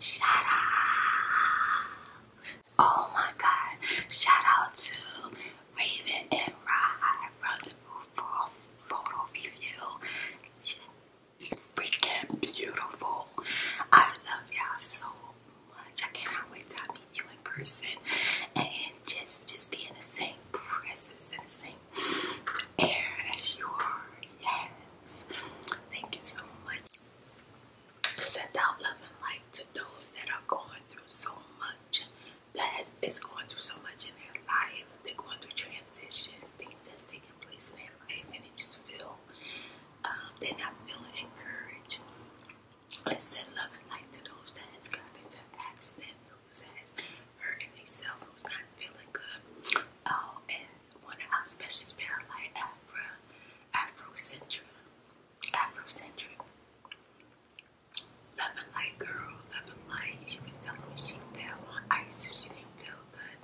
Shout out! Oh my God! Shout out to Raven and Rye from the RuPaul photo review. Freaking beautiful! I love y'all so much. I cannot wait to meet you in person and just just be the same presence in the same air as you are. Yes. Thank you so much. Send out love and light to those that are going through so much, That is going through so much in their life. They're going through transitions, things that's taking place in their life, and they just feel um, they're not feeling encouraged. send love and light to those that has gotten into accident, who's has hurting themselves, who's not feeling good. Oh, and one of our special spells like Afro, Afrocentric, Afrocentric. Loving light girl, loving light. She was telling me she fell on ice and she didn't feel good.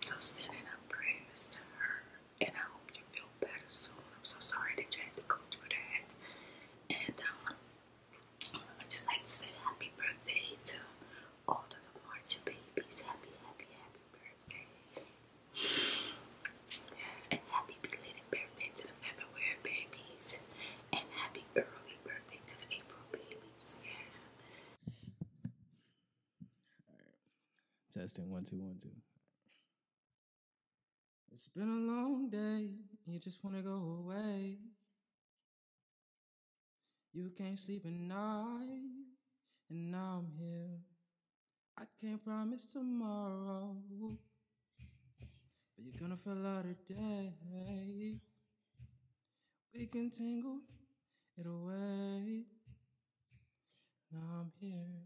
So sending up prayers to her, and I hope you feel better soon. I'm so sorry that you had to go through that. And um, I just like to say happy birthday to all of the March babies. Happy, happy, happy, birthday. And happy belated birthday to the February babies. And happy early birthday to the April babies. Testing one, two, one, two. It's been a long day. You just want to go away. You can't sleep at night. And now I'm here. I can't promise tomorrow, but you're gonna feel out today. We can tangle it away. Now I'm here.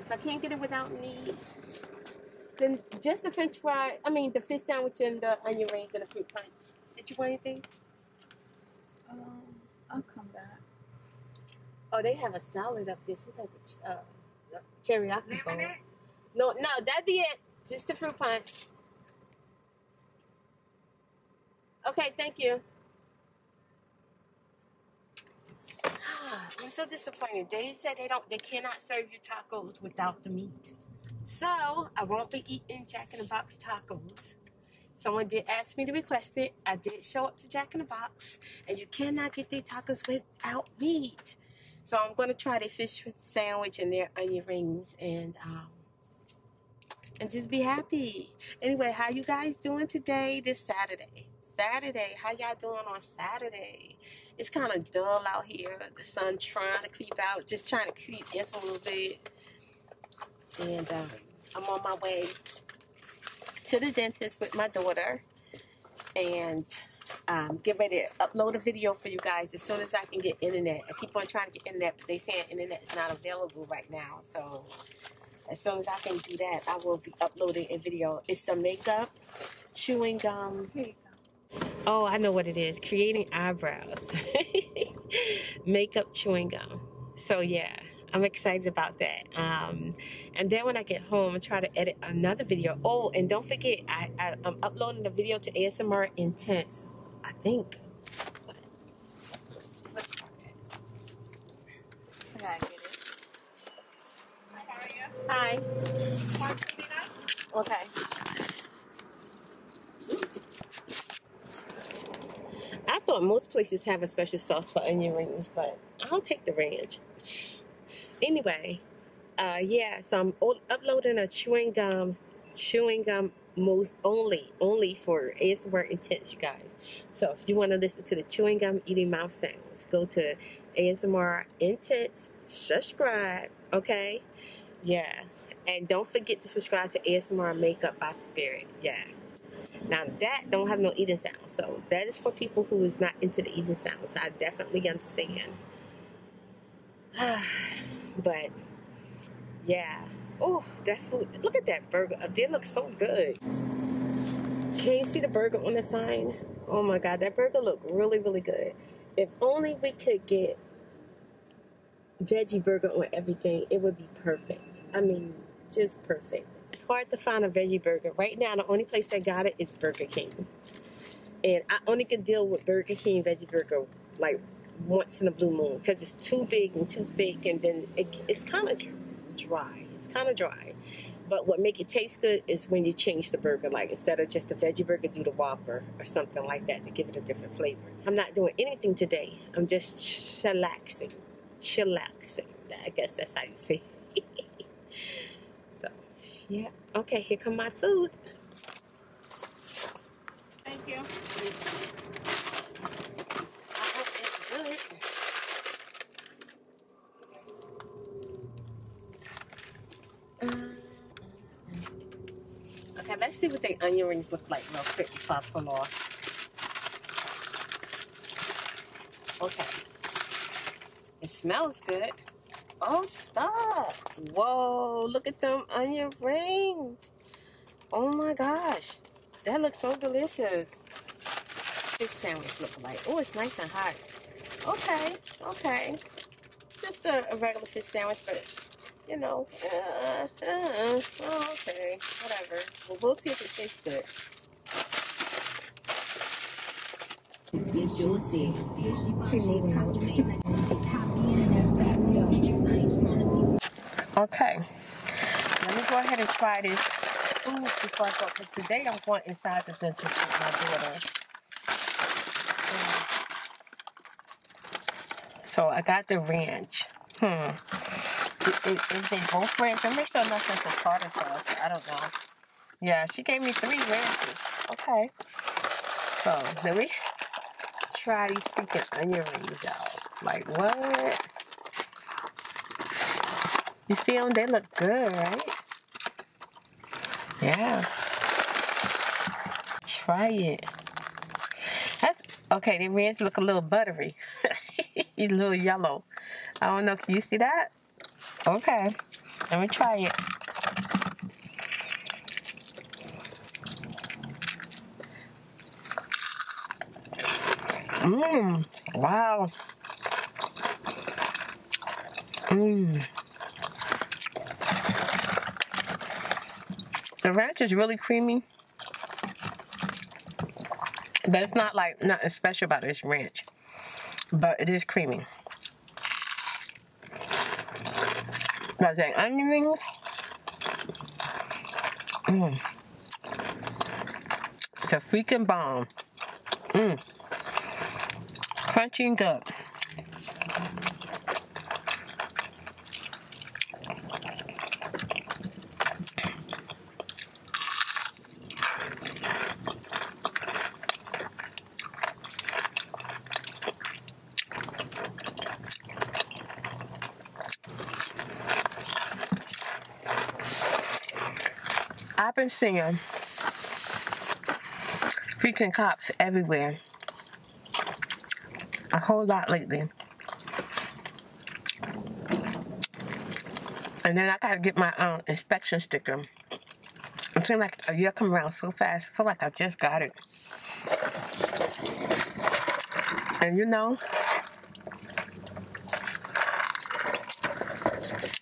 If I can't get it without me, then just the French fry. I mean, the fish sandwich and the onion rings and the fruit punch. Did you want anything? Um, I'll come back. Oh, they have a salad up there, some type of uh, teriyaki bowl. No, no, that'd be it. Just the fruit punch. Okay, thank you. I'm so disappointed. They said they don't, they cannot serve you tacos without the meat. So I won't be eating Jack in the Box tacos. Someone did ask me to request it. I did show up to Jack in the Box, and you cannot get their tacos without meat. So I'm going to try the fish sandwich and their onion rings, and um, and just be happy. Anyway, how you guys doing today? This Saturday, Saturday. How y'all doing on Saturday? It's kind of dull out here. The sun trying to creep out, just trying to creep just a little bit. And uh, I'm on my way to the dentist with my daughter and um, get ready to upload a video for you guys as soon as I can get internet. I keep on trying to get internet, but they say internet is not available right now. So as soon as I can do that, I will be uploading a video. It's the makeup, chewing gum. Oh, I know what it is. Creating eyebrows. makeup chewing gum. So yeah, I'm excited about that. Um, and then when I get home, I try to edit another video. Oh, and don't forget, I, I, am uploading the video to ASMR Intense, I think. Hi. Okay. I thought most places have a special sauce for onion rings, but I'll take the ranch. Anyway, uh, yeah, so I'm uploading a chewing gum, chewing gum most only, only for ASMR Intense, you guys. So if you want to listen to the chewing gum eating mouth sounds, go to ASMR Intense, subscribe, okay? Yeah. And don't forget to subscribe to ASMR Makeup by Spirit. Yeah. Now that don't have no eating sound, so that is for people who is not into the eating sounds. I definitely understand. but yeah. Oh, that food. Look at that burger up there. Looks so good. Can not see the burger on the sign? Oh my god, that burger looked really, really good. If only we could get veggie burger on everything, it would be perfect. I mean, just perfect. It's hard to find a veggie burger. Right now, the only place I got it is Burger King. And I only can deal with Burger King veggie burger like once in a blue moon because it's too big and too thick and then it's kind of dry. It's kind of dry. But what make it taste good is when you change the burger. Like instead of just a veggie burger, do the Whopper or something like that to give it a different flavor. I'm not doing anything today I'm just chillaxing. Chillaxing. I guess that's how you say it. so, yeah. Okay, here come my food. Thank you. I hope it's good. Uh, Okay, let's see what the onion rings look like real quick before I Okay. It smells good. Oh, stop. Whoa, look at them onion rings. Oh my gosh. That looks so delicious. This sandwich looks like? Oh, it's nice and hot. Okay, okay. Just a regular fish sandwich, but you know, uh, uh, uh okay, whatever. we'll see if it tastes good. Okay, let me go ahead and try this food before I go. today I'm going inside the dentist with my daughter. So I got the ranch. Hmm. Is, is they both ranch? I'll make sure nothing's a tartar sauce. I don't know. Yeah, she gave me three ranches. Okay. So let me try these freaking onion rings, y'all. Like what? You see them? They look good, right? Yeah. Try it. That's Okay, the ranch look a little buttery. a little yellow. I don't know if you see that. Okay, let me try it. Mmm, wow. Mmm. The ranch is really creamy. But it's not like nothing special about this ranch. But it is creamy. Not saying onion rings. Mm. It's a freaking bomb. Mmm. Crunchy and good. I've been seeing freaking cops everywhere. A whole lot lately. And then I gotta get my um, inspection sticker. It seems like a uh, year come around so fast. I feel like I just got it. And you know,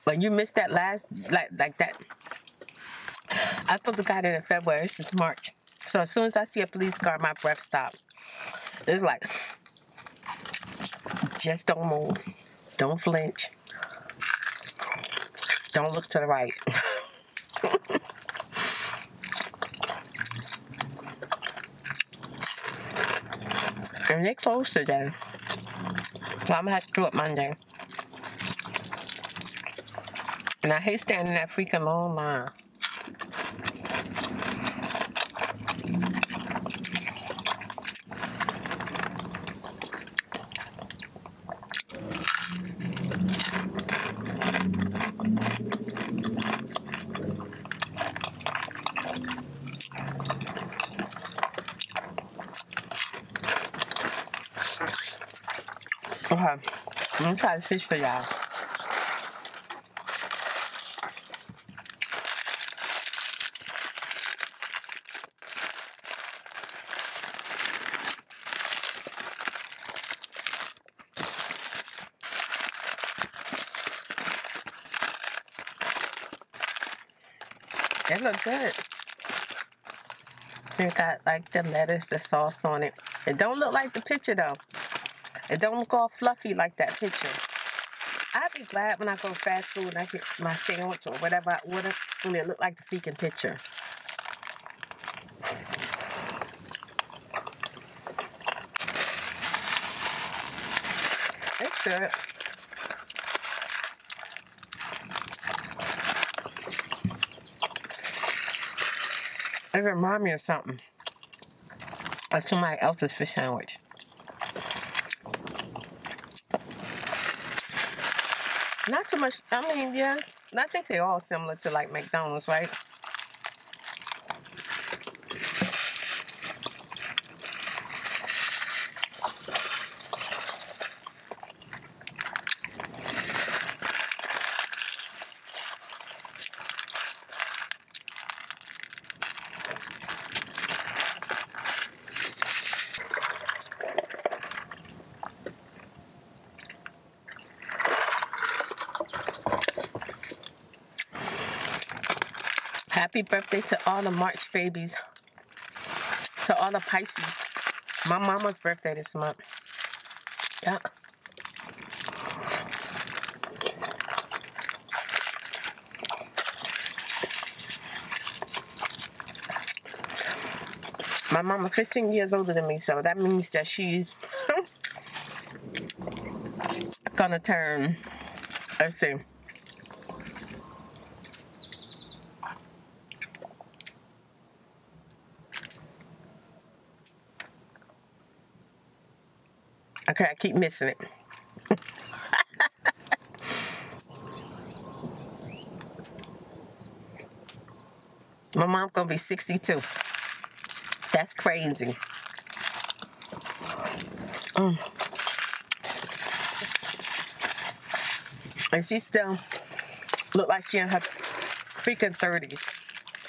when you missed that last, like like that, I supposed to got it in February. It's is March. So as soon as I see a police car, my breath stops. It's like, just don't move. Don't flinch. Don't look to the right. they and they closed today. So I'm gonna have to do it Monday. And I hate standing that freaking long line. Okay, I'm gonna try the fish for y'all. It looked good. It got like the lettuce, the sauce on it. It don't look like the picture though. It don't look all fluffy like that picture. I'd be glad when I go fast food and I get my sandwich or whatever I order when it look like the freaking picture. That's good. It remind me of something. Uh, of somebody else's fish sandwich. Not too much, I mean, yeah, I think they're all similar to like McDonald's, right? Happy birthday to all the March babies. To all the Pisces. My mama's birthday this month. Yeah. My mama 15 years older than me, so that means that she's gonna turn, let see. Okay, I keep missing it. My mom's gonna be 62. That's crazy. Mm. And she still look like she in her freaking 30s.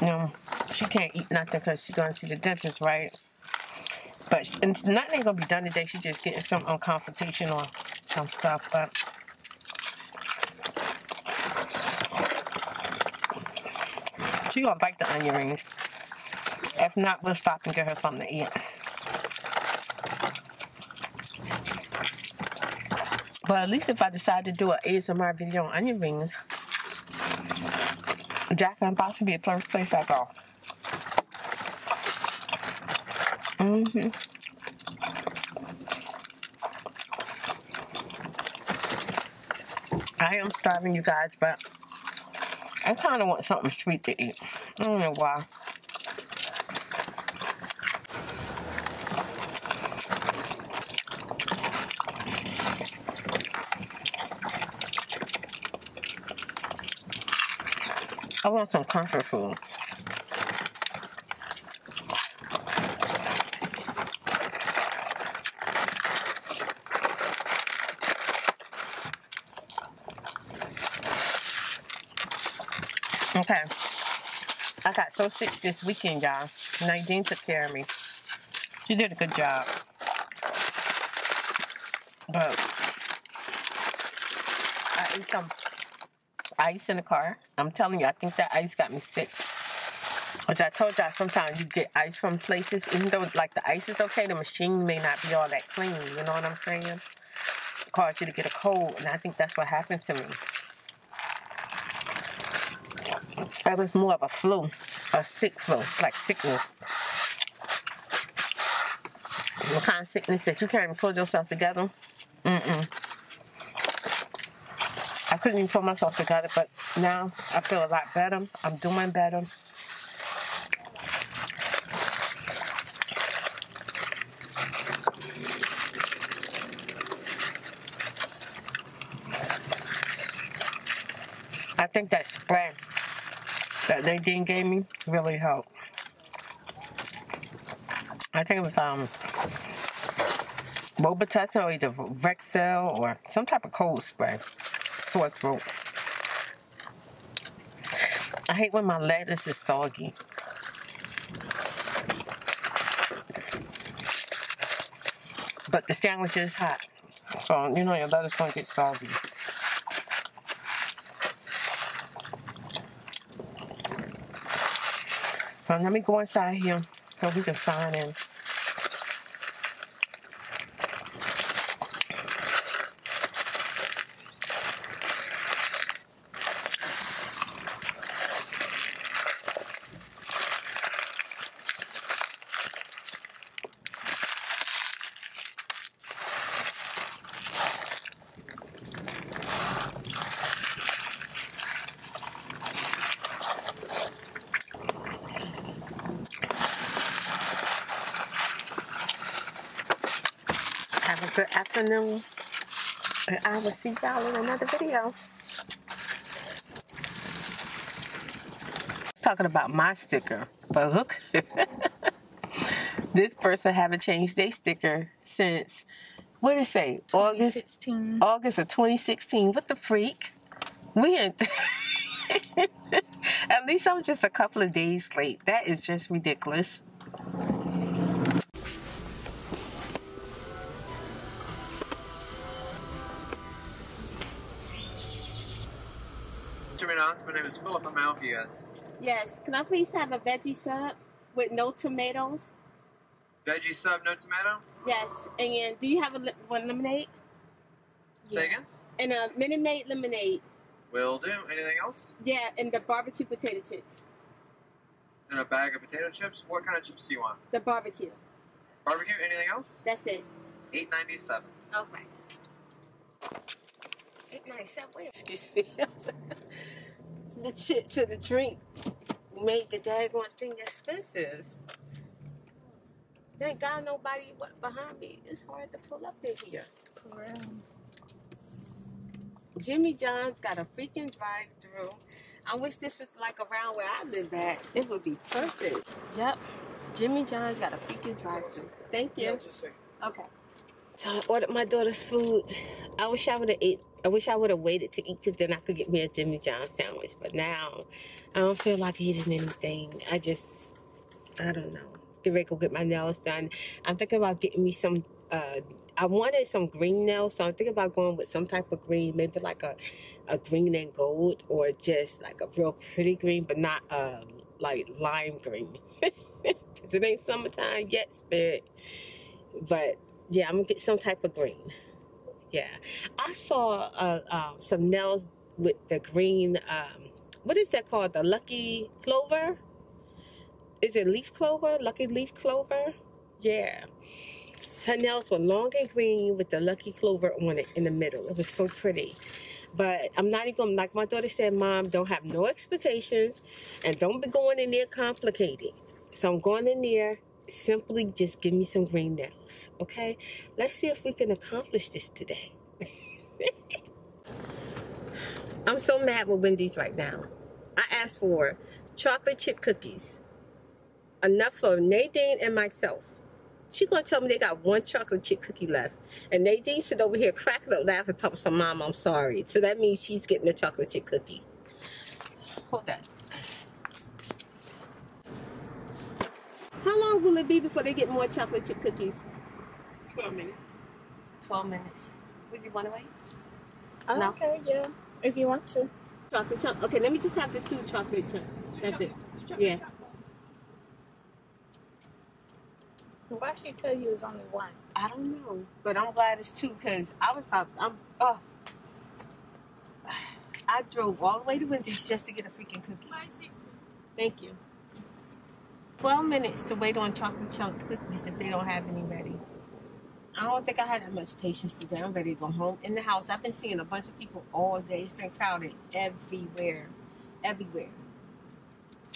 You know, she can't eat nothing because she's going to see the dentist, right? But nothing ain't going to be done today. She's just getting some um, consultation on some stuff. But she going to like the onion rings. If not, we'll stop and get her something to eat. But at least if I decide to do an ASMR video on onion rings, Jack and Box would be a first place I go. hmm I am starving, you guys, but I kind of want something sweet to eat. I don't know why. I want some comfort food. Okay. I got so sick this weekend, y'all car. Nadine took care of me. She did a good job. But I ate some ice in the car. I'm telling you, I think that ice got me sick. Which I told y'all, sometimes you get ice from places, even though like the ice is okay, the machine may not be all that clean. You know what I'm saying? It caused you to get a cold, and I think that's what happened to me. That was more of a flu, a sick flu, like sickness. The kind of sickness that you can't even pull yourself together. Mm-mm. I couldn't even pull myself together, but now I feel a lot better. I'm doing better. I think that spray that Nadine gave me really helped. I think it was um Robitussin or either Rexel or some type of cold spray. Sore throat. I hate when my lettuce is soggy. But the sandwich is hot. So, you know your is going to get soggy. So let me go inside here so we can sign in. Have a good afternoon. And I will see y'all in another video talking about my sticker, but look, this person haven't changed their sticker since what did they say? August August of 2016. What the freak? We At least I'm just a couple of days late. That is just ridiculous. My name is Philip. I'm Alvias. Yes. Can I please have a veggie sub with no tomatoes? Veggie sub, no tomato? Yes. And do you have a one lemonade? Yeah. And a mini-made lemonade. Will do. Anything else? Yeah, and the barbecue potato chips and a bag of potato chips. What kind of chips do you want? The barbecue. Barbecue. Anything else? That's it. Eight ninety seven. Okay. Eight ninety seven. Excuse me. the chips to the drink made the daggone thing expensive. Thank God nobody went behind me. It's hard to pull up in here. Jimmy John's got a freaking drive I wish this was like around where I live at. It would be perfect. Yep. Jimmy John's got a freaking drive through. Thank you. Okay. So I ordered my daughter's food. I wish I would have ate. I wish I would have waited to eat because then I could get me a Jimmy John sandwich. But now I don't feel like eating anything. I just, I don't know. Get ready to go get my nails done. I'm thinking about getting me some uh, I wanted some green nails, so I'm thinking about going with some type of green, maybe like a a green and gold or just like a real pretty green, but not uh, like lime green. Because it ain't summertime yet, spirit. But yeah, I'm going to get some type of green. Yeah. I saw uh, um, some nails with the green, um, what is that called? The lucky clover? Is it leaf clover? Lucky leaf clover? Yeah. Her nails were long and green with the lucky clover on it in the middle. It was so pretty. But I'm not even, like my daughter said, Mom, don't have no expectations and don't be going in there complicating. So I'm going in there, simply just give me some green nails, okay? Let's see if we can accomplish this today. I'm so mad with Wendy's right now. I asked for chocolate chip cookies enough for Nadine and myself. She gonna tell me they got one chocolate chip cookie left. And Nadine sit over here cracking up laughing, talking some mom, I'm sorry. So that means she's getting the chocolate chip cookie. Hold that. How long will it be before they get more chocolate chip cookies? 12 minutes. 12 minutes. Would you want to wait? Oh, no? Okay, yeah. If you want to. Chocolate chunk. Okay, let me just have the two chocolate chunk. That's it. yeah. Why she tell you it's only one? I don't know, but I'm glad it's two because I was probably I'm oh. I drove all the way to Wendy's just to get a freaking cookie. Thank you. 12 minutes to wait on chocolate chunk cookies if they don't have any ready. I don't think I had that much patience today. I'm ready to go home. In the house, I've been seeing a bunch people all day. It's been crowded everywhere, everywhere.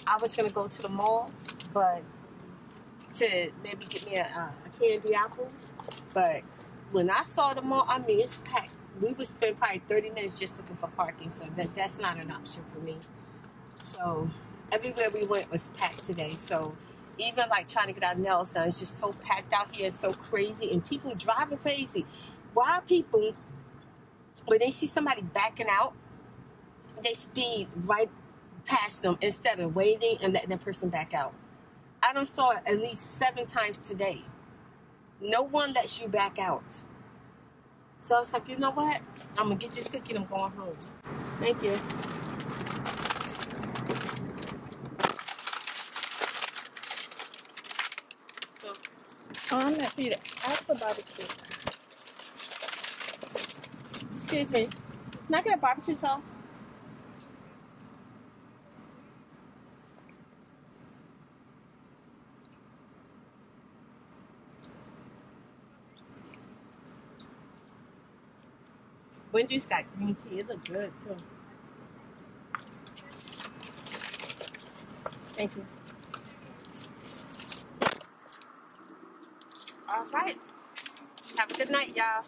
I was gonna go to the mall, but to maybe get me a, candy apple. But when I saw the mall, I mean, it's packed. We would spend probably 30 minutes just looking for parking, so that that's not an option for me. So everywhere we went was packed today. So even like trying to get out nails done, it's just so packed out here, so crazy and people driving crazy. Why people, when they see somebody backing out, they speed right past them instead of waiting and letting the person back out. I don't saw it at least seven times today. No one lets you back out. So I was like, you know what? I'm gonna get this cookie and I'm going home. Thank you. Oh, I'm not for to the barbecue. Excuse me. Can I get barbecue sauce? Wendy's got green tea. It looked good too. Thank you. All right. Have a good night, y'all.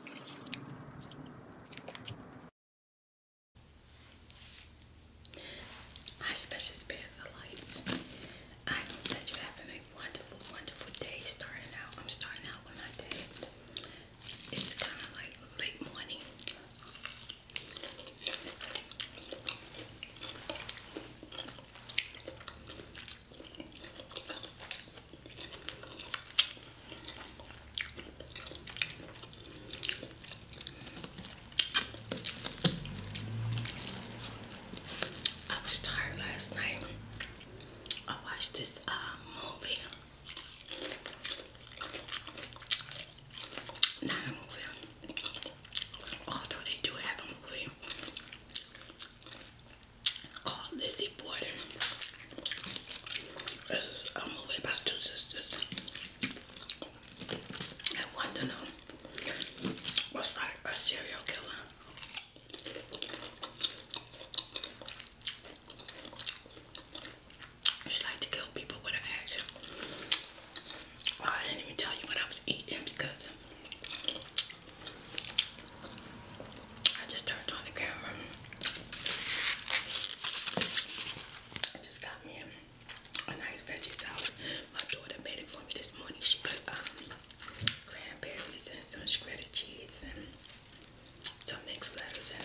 Hi, Special Spiritualites. I hope that you're having a wonderful, wonderful day starting out. I'm starting out with my day. It's kind of like late morning. I was tired last night. I watched this uh, movie. Not a movie. Although they do have a movie called Lizzie Borden. It's a movie about two sisters. And one to know was like a serial killer. She liked to kill people with her action. I didn't even tell you what I was eating because I just turned on the camera. I just got me a, nice veggie salad. My daughter made it for me this morning. She put um, cranberries and some shredded cheese and some mixed lettuce in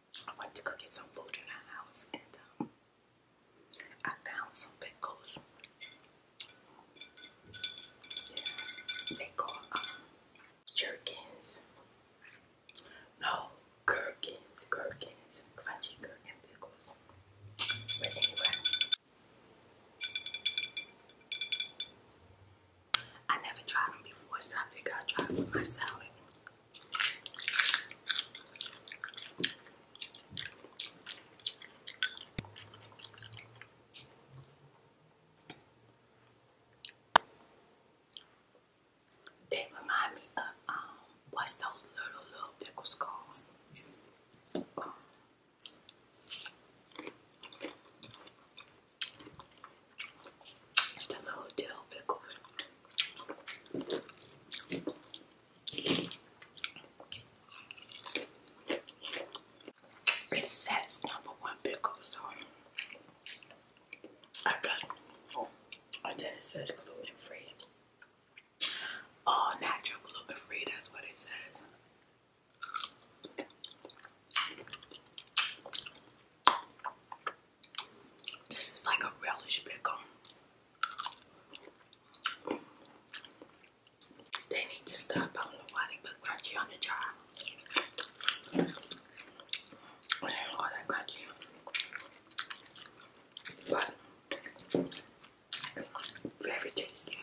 I went to go get some food in the house and um, I found some pickles. Yeah, they call um, jerkins. No, gherkins, gherkins, crunchy gherkin pickles. But anyway, I never tried them before, so I figured I'd try it with my salad. They remind me of um what's those little little pickles called? Um, the little dill it says number one pickle, I got oh, and then it says gluten free. All natural gluten free, that's what it says. This is like a relish pickle. They need to stop. I don't know why they put crunchy on the jar. I do all that crunchy. But very tasty.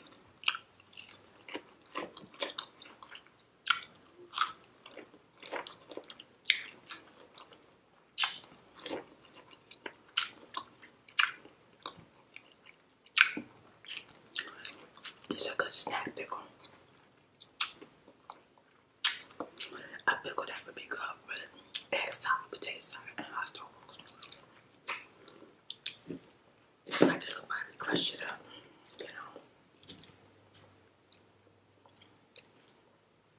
It's a good snack pickle. A pickle that would be good egg salad, potato salad, and hot dogs. I just could probably crush it up, you know.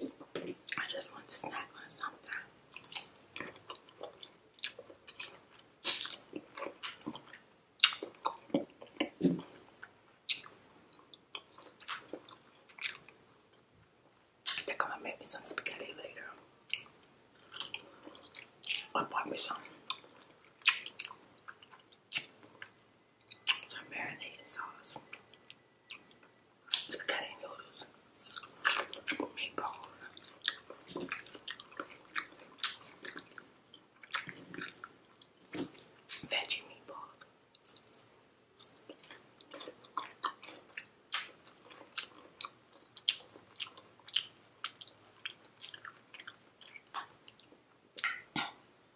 I just want to snack on something. They're gonna make me some spaghetti later. Or buy me some some marinated sauce, spaghetti noodles, meatballs. Veggie meatballs.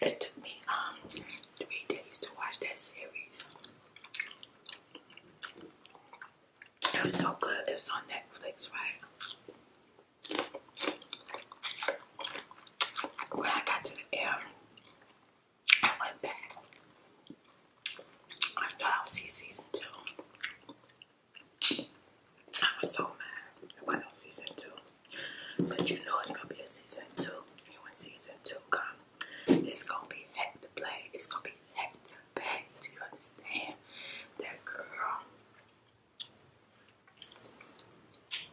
It took me um three days to watch that series. It was so good. It was on Netflix, right? When I got to the air, I went back. I thought I was see season two. I was so mad if I don't season two. But you know it's gonna be a season two. And when season two Come. it's gonna be heck to play. It's gonna be heck to play. Do you understand? That girl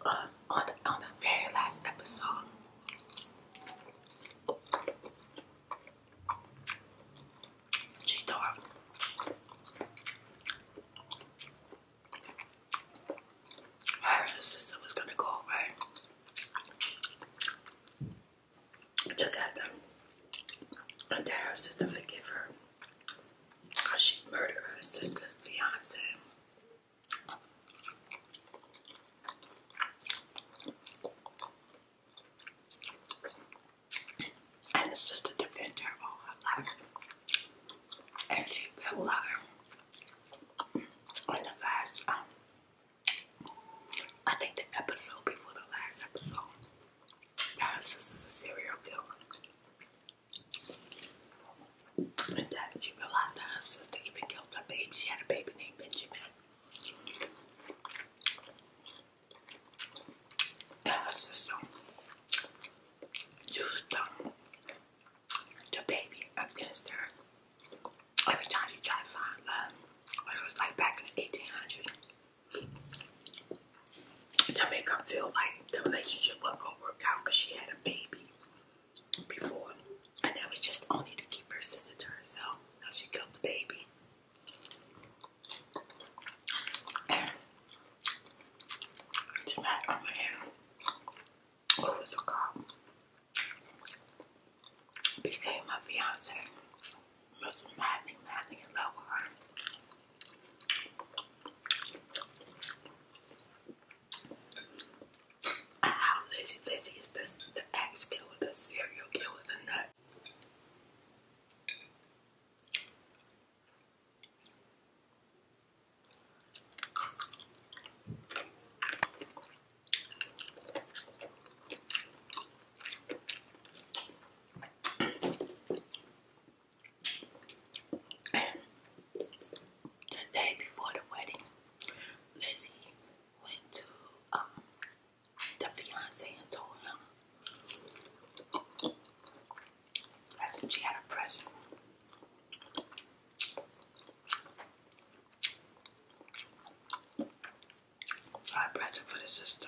uh, on the, very last episode. She thought her sister was gonna go away to and then sister forgive her because she murdered her sister's fiance. And it's just a defender all her life. And she will lie on the last um, I think the episode before the last episode. That her sister's a serial killer. And then she realized that her sister even killed her baby. She had a baby named Benjamin. And her sister used um, the baby against her. Every time she tried to find love, it was like back in the To make her feel like the relationship wasn't going to work out because she had a baby before, and that was just only to keep her sister to herself. Now she killed the baby. And tonight I'm going Became my fiance. Was madly, madly in love her. How lazy, lazy is this? The axe killer, the serial killer, the nut. The day before the wedding, Lizzie went to um, the fiance and told him that she had a present. A present for the sister.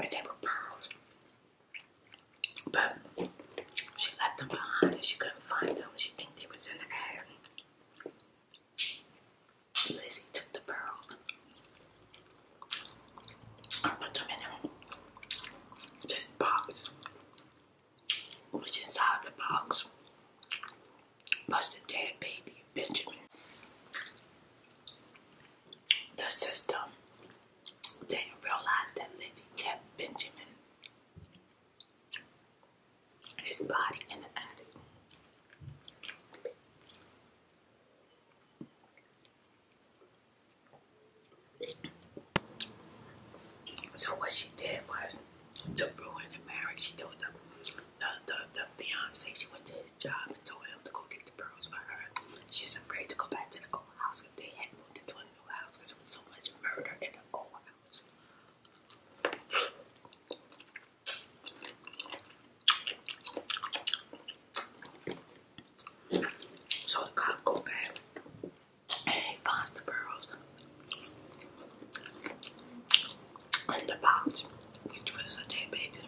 And they were pearls. But she left them behind she couldn't find them. She think they was in the attic. Lizzie took the pearls and put them in this box, which inside the box was the dead baby, Benjamin. The system didn't realize that Lizzie kept Benjamin his body in the attic. So what she did was to ruin the marriage. She told the the, the, the fiance she went to his job and told him to go get the pearls for her. She's afraid to go back to the old house if they had moved to a new house because there was so much murder in the old house. So the cop goes back and he finds the pearls in the box, which was a dead baby.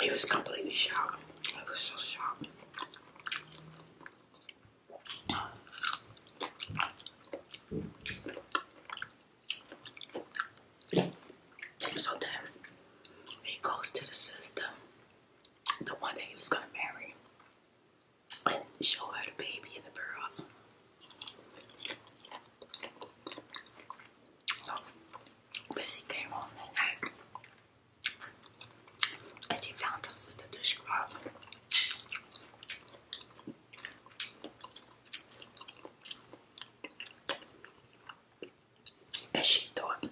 He was completely shocked. I was so shocked. So then he goes to the sister, the one that he was gonna marry, and show her the baby in the pearls. So Missy came home and she found her sister described she thought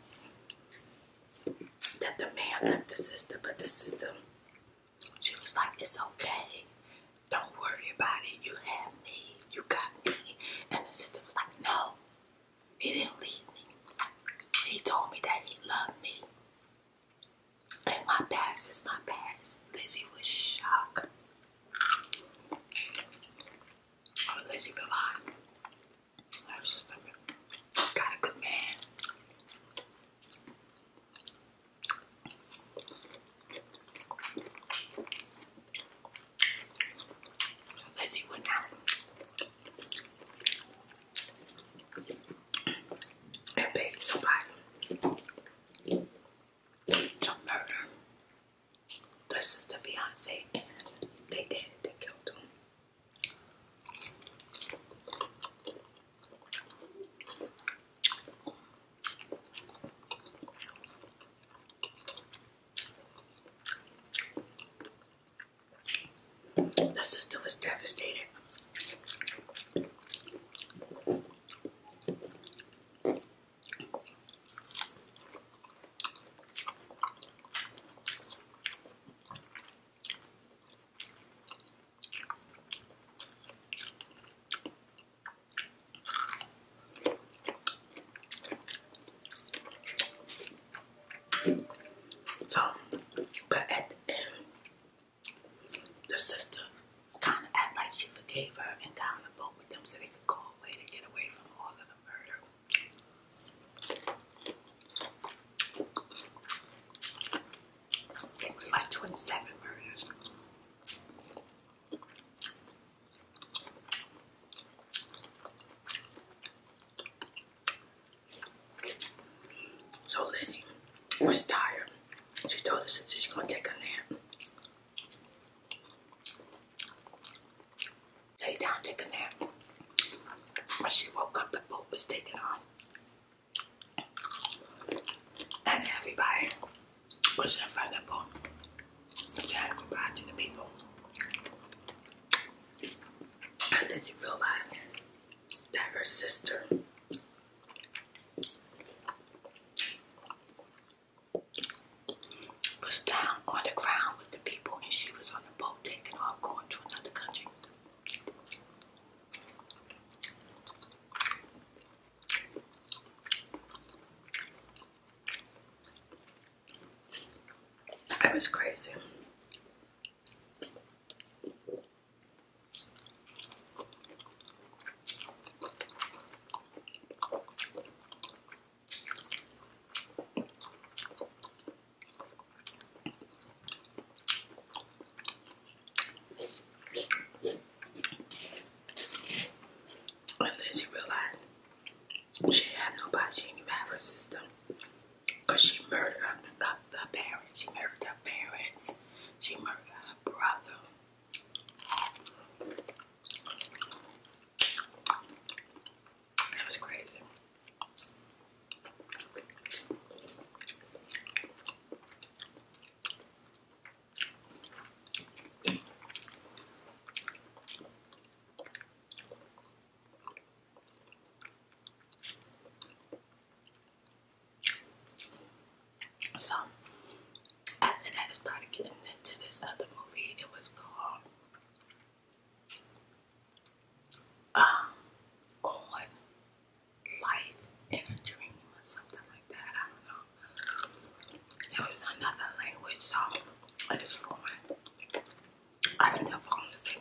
that the man left the sister, but the sister, she was like, It's okay. Don't worry about it. You have me. You got me. And the sister was like, No, he didn't leave me. He told me that he loved me. And my past is my past. Lizzie was shocked. Oh, Lizzie Bavine. I was just like, got a good man. Lizzie went out and paid somebody to murder the sister fiance, and they did. They killed him. The sister was devastated. So, but at the end, the sister kind of act like she forgave her and got on the boat with them so they could go away to get away from all of the murder. There 27 So Lizzie was tired. She told us that she's gonna take a nap. Lay down, take a nap. When she woke up, the boat was taking off. And everybody was in front of the boat, saying goodbye to the people. And then she realized that her sister was down on the ground with the people, and she was on the boat taking off going to another country. It was crazy. Unless you realize she had nobody, she didn't even have her sister. Cause she murdered her, uh, her, parents. She murdered her parents. She murdered her brother. That was crazy. So after I started getting into this other movie. It was called um, On Life in a Dream or something like that. I don't know. It was another language, so I just ruined. I ended up falling asleep.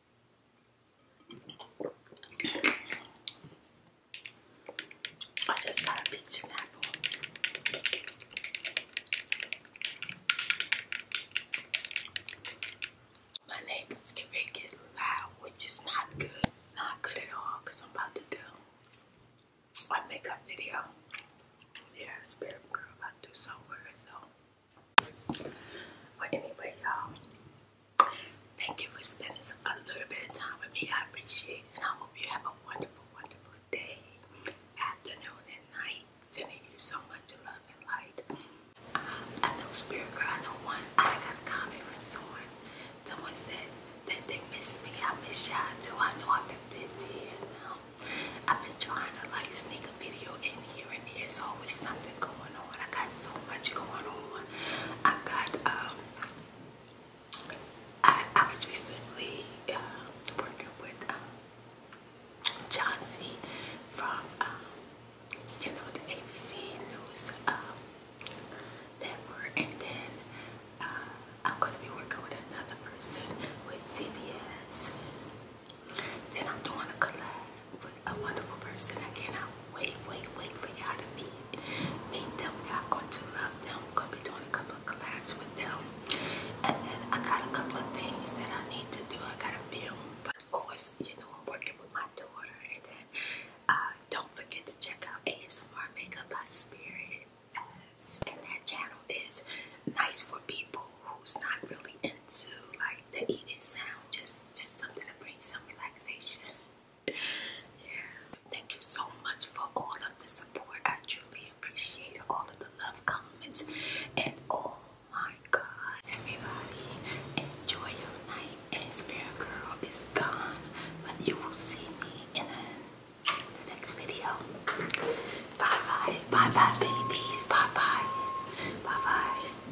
I just got a peach snapple. My neighbors can make it loud, which is not good. Not good at all, because I'm about to do a makeup video. Yeah, Spirit Girl about to do somewhere, so but anyway, y'all, thank you for spending a little bit of time with me. I appreciate it. And I hope you have a wonderful, wonderful day, afternoon, and night. Sending you so much love and light. Um, I know Spirit Girl, I know one. I got a comment from someone. Someone said that they miss me. I miss y'all too. I know I've been busy and um, I've been trying to like sneak a video in hearing there's always something going on. I got so much going on. I got, um, I, was recently uh, working with um, John C. from, um, the ABC News um, And then uh, I'm going to be working with another person with CBS. Then I'm doing a collab but a wonderful person. I cannot wait, wait, wait for y'all to meet. Meet them. Y'all going to love them. Gonna be doing a couple of collabs with them. And then I got a couple of things that I need to do. I got a film. But of course, you know, I'm working with my daughter. And then uh, don't forget to check out ASMR Makeup by Spirit. As, and that channel is nice for people who's not really into like the eating sound, just just something to bring some relaxation. yeah. Thank you so much for all of the support. I truly appreciate all of the love comments and oh my god. Everybody enjoy your night and Spirit Girl is gone. But you will see me in the next video. Bye bye. Bye bye babies. Bye bye. Bye bye.